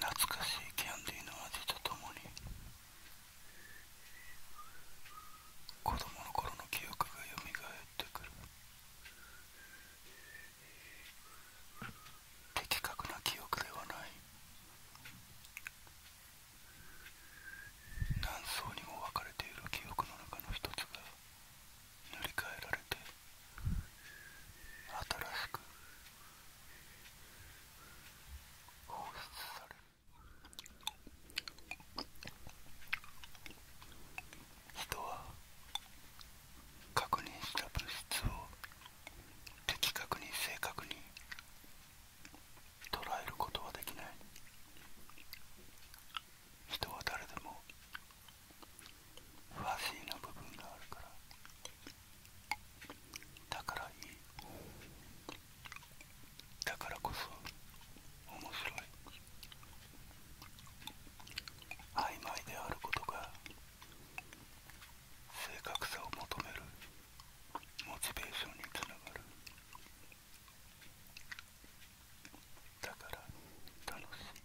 懐かしいキャンディーの味とともに子供の頃の記憶がよみがえってくる的確な記憶ではない何層にも分かれている記憶の中の一つが塗り替えられて新しく放出される人は確認した物質を的確に正確に捉えることはできない人は誰でもファシーな部分があるからだからいいだからこそ面白い曖昧であることが正確さを求めるモチベーションにつながるだから楽しい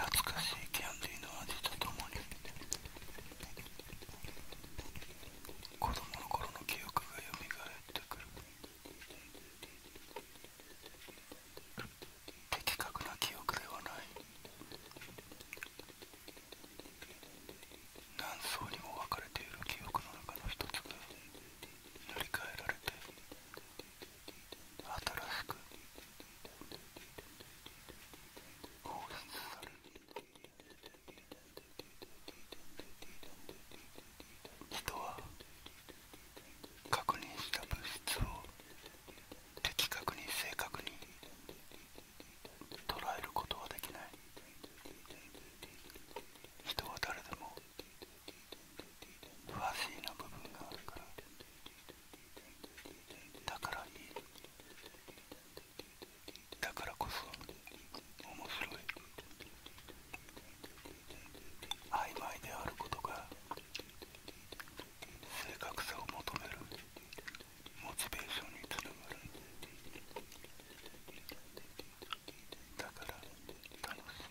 懐かしいキャンディーの味とともに子供の頃の記憶がよみがえってくる的確な記憶ではない何層にも分かれている記憶の中の一つが塗り替えられて新しく人は確認した物質を的確に正確に捉えることはできない人は誰でも不安しな部分があるからだからいいだからこそ面白い曖昧であることが正確さを求めるモチベーションにつながるだから楽しい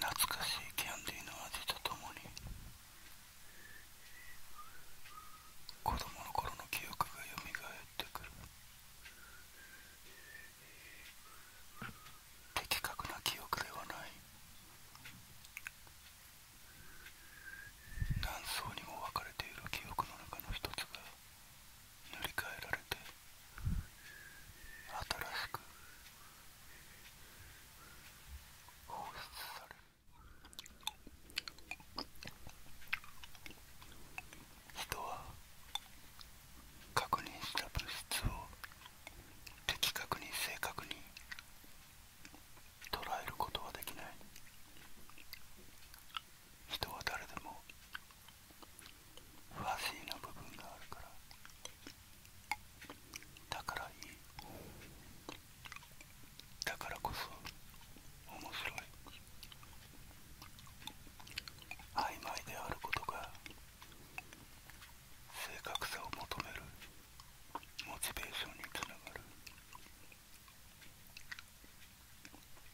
懐かしいキャンディーの味とともに子供の頃の記憶がよみがえってくる的確な記憶ではない何層にも分かれている記憶の中の一つが塗り替えられて新しく放出される人は確認した物質を的確に正確に捉えることはできない人は誰でもファシーな部分があるからだからいいだからこそ面白い曖昧であることが正確さを求めるモチベーションにつながる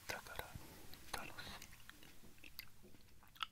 だから楽しい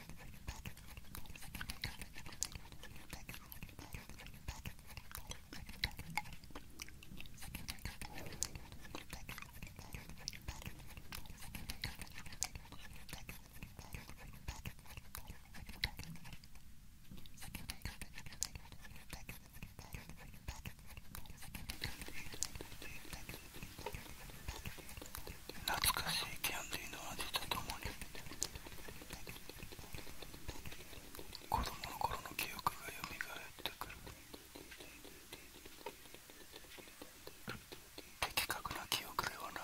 懐かしいキャンディーの味とともに子供の頃の記憶がよみがえってくる的確な記憶ではない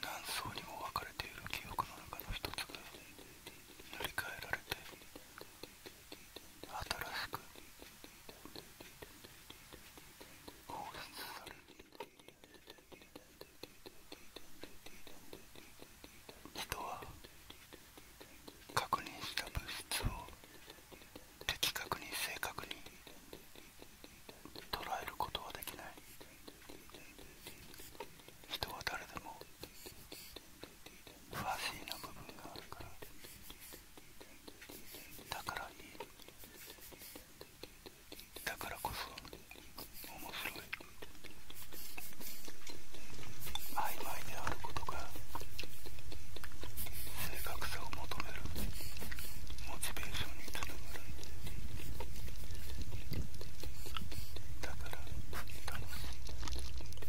何層にも分かれている記憶の中の一つが塗り替えられて新しく人は確認した物質を的確に正確に捉えることはできない人は誰でも不破しいな部分があるからだからいいだからこそ面白い曖昧であることが正確さを求めるモチベーションにつながるだから楽しい面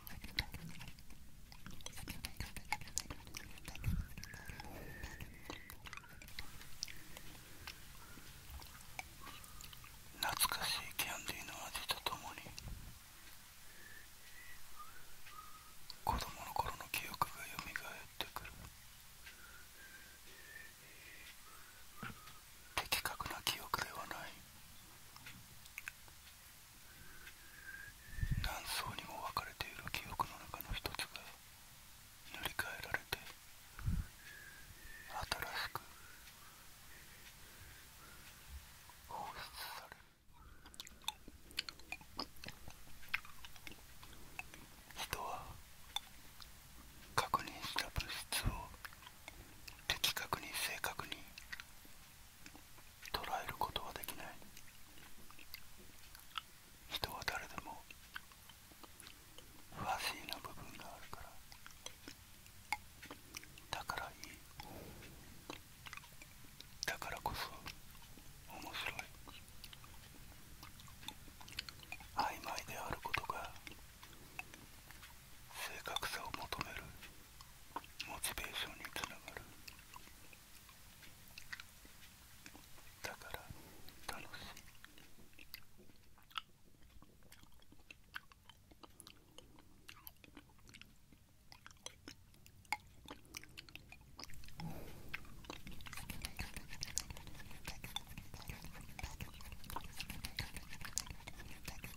懐かしいキャンディーの味とともに子供の頃の記憶がよみがえってくる的確な記憶ではない何層にも分かれている記憶の中の一つが塗り替えられて新しく放出される人は確認した物質を的確に正確に捉えることはできない人は誰でもファシーな部分があるからだからいいだからこそ面白い曖昧であることが正確さを求めるモチベーションにつながるだから楽しい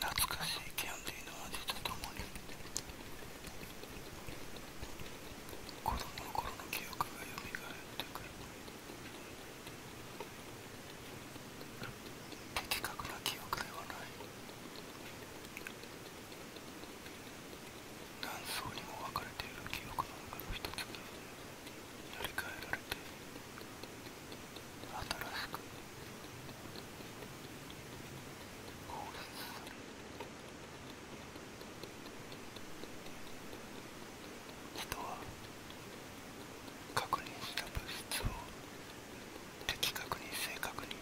懐かしいキャンディーの味とともに子供の頃の記憶がよみがえってくる的確な記憶ではない何層にも分かれている記憶の中の一つが塗り替えられて新しく放出される人は確認した物質を的確に正確に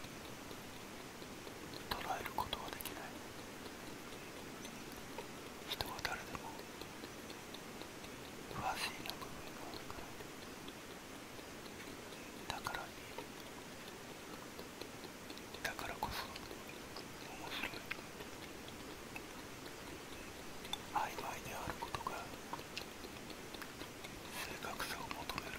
捉えることはできない人は誰でも不破しいな部分があるからだからいいだからこそ面白い曖昧であることが正確さを求める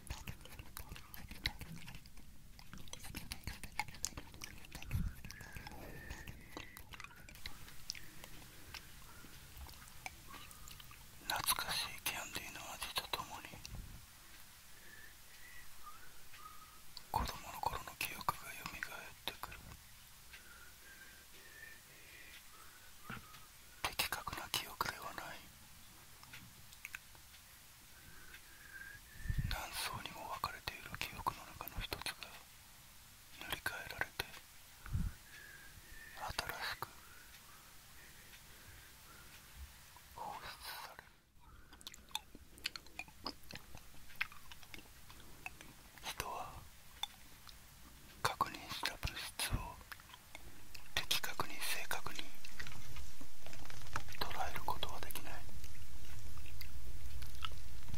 懐かしいキャンディーの味とともに子供の頃の記憶がよみがえってくる的確な記憶ではない何層にも分かれている記憶の中の一つが塗り替えられて新しく放出される人は確認した物質を的確に正確に捉えることはできない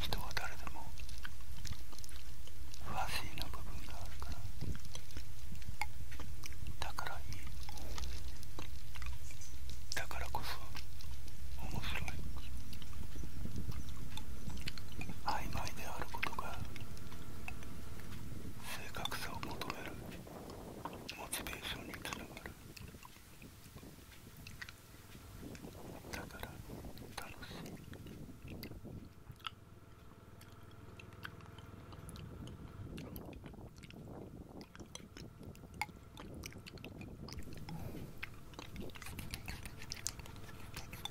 人は誰でもファシーな部分があるからだからいいだからこそ面白い曖昧であることが正確さをモチベーションにつながるだから楽しい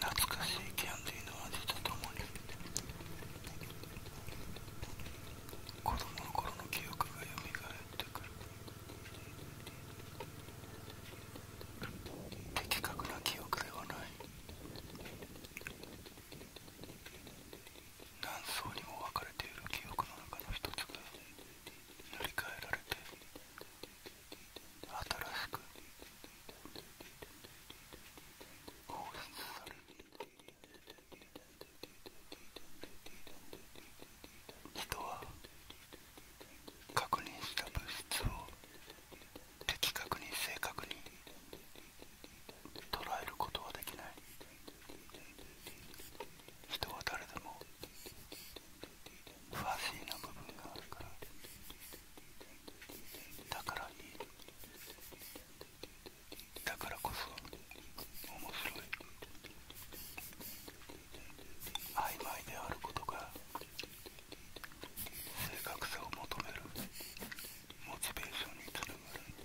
懐かしいキャンディーの味とともに子供の頃の記憶がよみがえってくる的確な記憶ではない何層にも分かれている記憶の中の一つが塗り替えられて新しく放出され人は確認した物質を的確に正確に捉えることはできない人は誰でも不破しいな部分があるからだからいいだからこそ面白い曖昧であることが正確さを求めるモチベーションにつながる